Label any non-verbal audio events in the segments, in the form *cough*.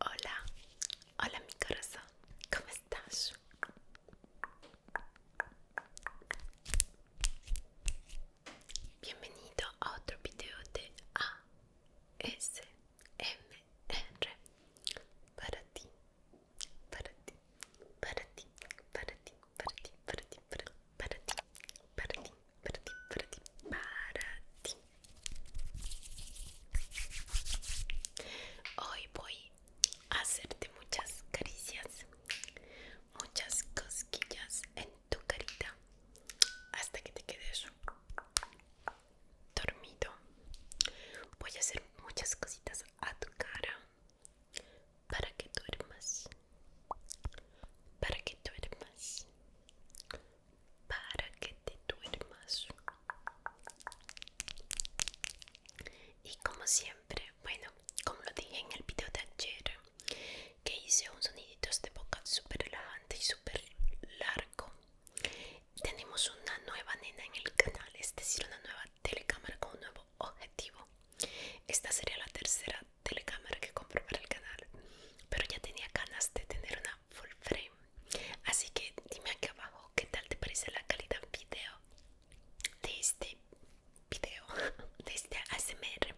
Hola, hola mi corazón, ¿cómo estás? Bienvenido a otro video de ASMR para ti, para ti, para ti, para ti, para ti, para ti, para ti, para ti, para ti, para ti, para ti, para ti, para ti. Hoy voy a hacerte muchas caricias, muchas cosquillas en tu carita hasta que te quedes dormido. Voy a hacer muchas cositas a tu cara para que duermas, para que duermas, para que te duermas y como siempre bueno como lo dije en el video de ayer que hice un sonidito de boca super elevante y super largo tenemos una nueva nena en el canal es decir una nueva telecámara con un nuevo objetivo esta sería la tercera telecámara que compro para el canal pero ya tenía ganas de tener una full frame así que dime aquí abajo qué tal te parece la calidad video de este video *laughs* de este ASMR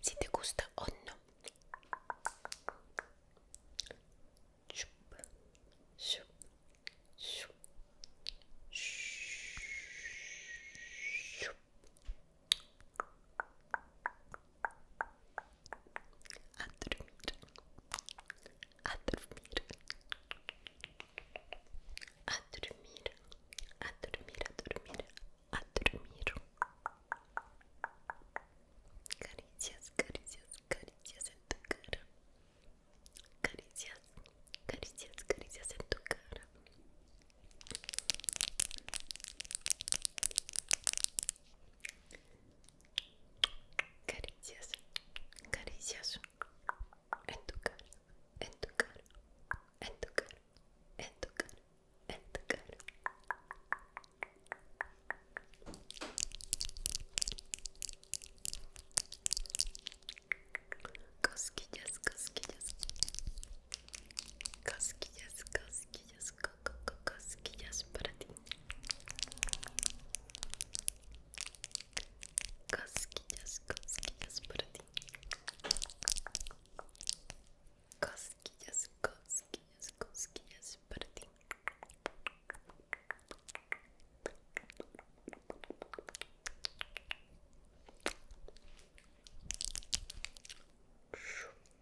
si te gusta o no A dormir, a dormir, a dormir, a dormir, a dormir, a dormir. Carícias, carícias, carícias em tua cara. Carícias, carícias, carícias em tua cara. Caricias, caricias en tu cara, en tu cara, en tu cara, en tu cara, en tu cara. Cosquillas, cosquillas. Cosquillas, cosquillas, co co cosquillas para ti. Cosquillas, cosquillas para ti. Cosquillas, cosquillas, cosquillas para ti. Shoo.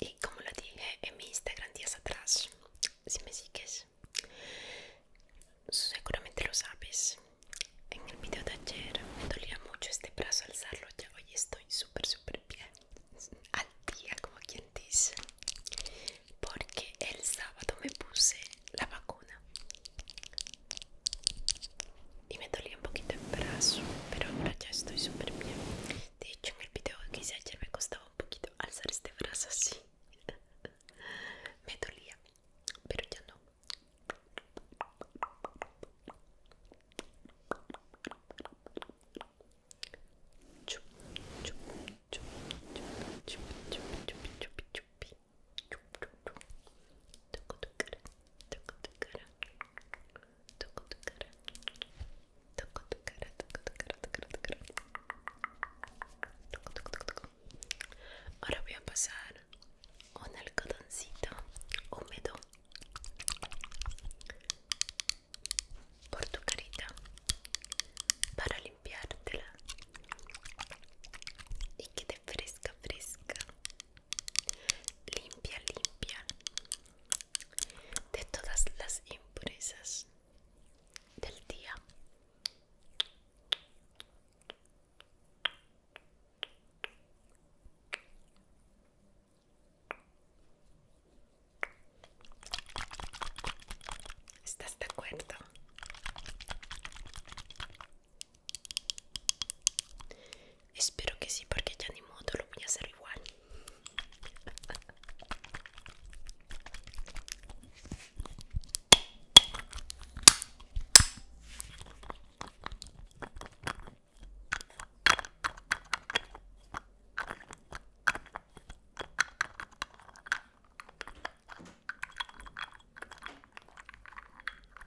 Y como lo dije en mi Instagram días atrás, si me sigues, seguramente lo sabes. En el video de ayer me dolía mucho este brazo alzarlo, ya hoy estoy súper, súper bien. Al día, como quien dice. Porque el sábado me puse la vacuna. Y me dolía un poquito el brazo, pero ahora ya estoy súper bien. De hecho, en el video que hice ayer me costaba un poquito alzar este brazo así. me dolía, pero ya no. Toco tu cara. Toco tu cara, toco tu cara, toco tu cara. Toco, toco, toco, toco. Ahora voy a pasar un algodoncito húmedo por tu carita para limpiártela y quede fresca, fresca limpia limpia de todas las impresas del día ¿Estás de acuerdo? Espero que sí, porque ya ni modo lo voy a hacer igual.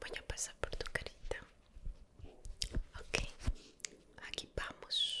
Voy a pasar por tu carita. Ok, aquí vamos.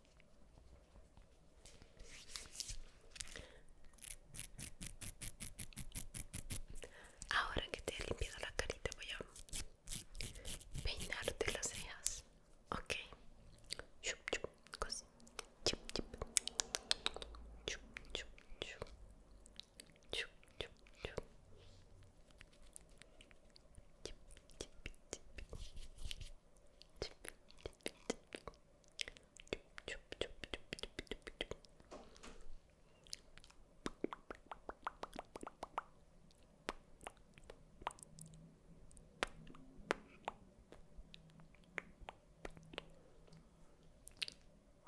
Ahora que te he limpiado la carita voy a peinarte las cejas, ok. Chup, chup,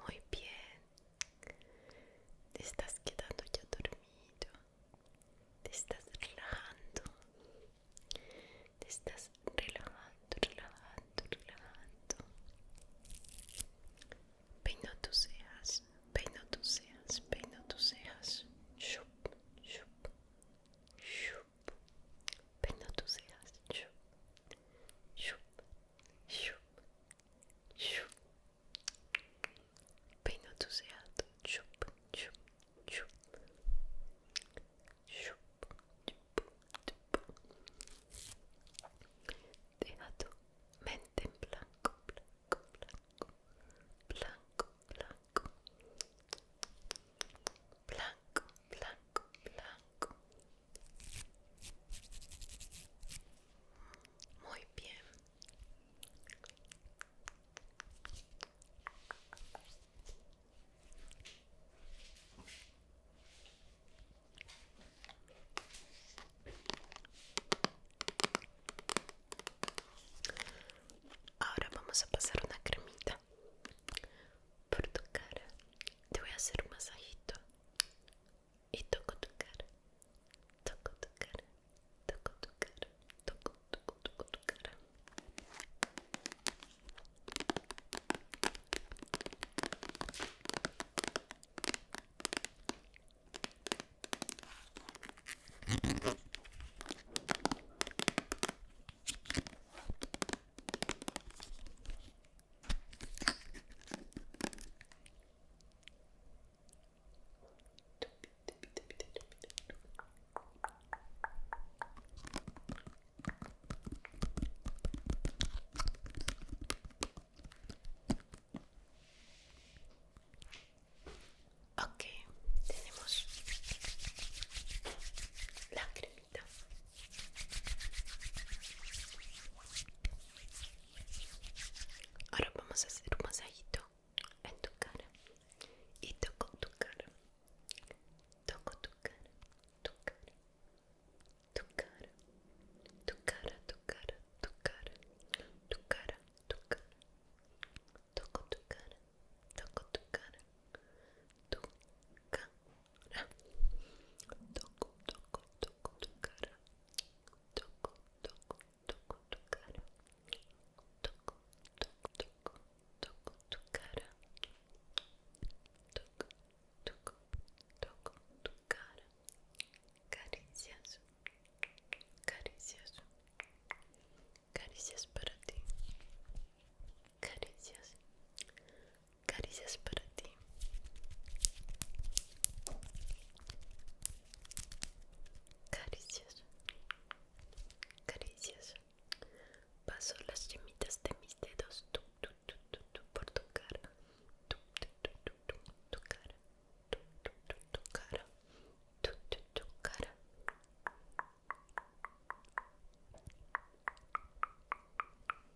muy bien, te estás quedando ya dormido te estás relajando te estás relajando relajando relajando peino tus cejas peino chup, chup, peino chup, chup, chup, chup. Shoop Pino Chup, chup, chup. Chup, chup, chup. mente en blanco, blanco, blanco. Blanco, blanco. Blanco, blanco, blanco. Muy bien. Agora vamos passar uma una cremita por tu cara. Te então voy é a hacer un masajito e toco do cara, toco do cara, toco do cara, toco, toco, toco do cara. Okay, tenemos la cremita. Ahora vamos a hacer un masajito en tu cara. Y toco tu cara. Toco tu cara. Tu cara. Tu cara. Tu cara, tu cara, tu cara. Tu cara, tu cara. Toco tu cara. Toco tu cara. Tu cara. Toco, toco, toco tu cara. toco, toco, toco tu cara, toco, toco, toco, toco tu cara, toco, toco, toco tu cara, caricias, caricias, caricias para ti, caricias, caricias Caricias, caricias. Paso las yemitas de mis dedos tu, tu, tu, tu, tu, por tu cara, tu, tu, tu, tu, tu, tu cara, tu, tu, tu, tu cara, tu, tu, tu cara.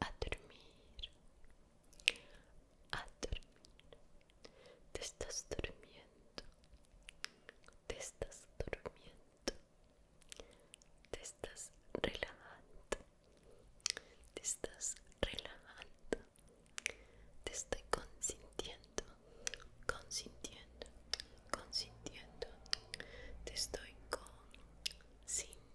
a dormir a dormir te estás durmiendo te estás durmiendo te estás relajando te estás relajando te estoy consintiendo consintiendo consintiendo te estoy consintiendo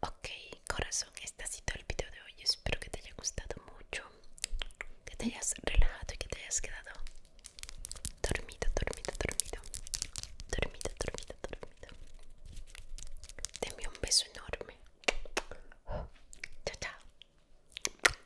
Ok, corazón, este ha sido el video de hoy. Espero que te haya gustado mucho, que te hayas relajado y que te hayas quedado dormido, dormido, dormido, dormido, dormido, dormido. Deme un beso enorme. Chao, chao.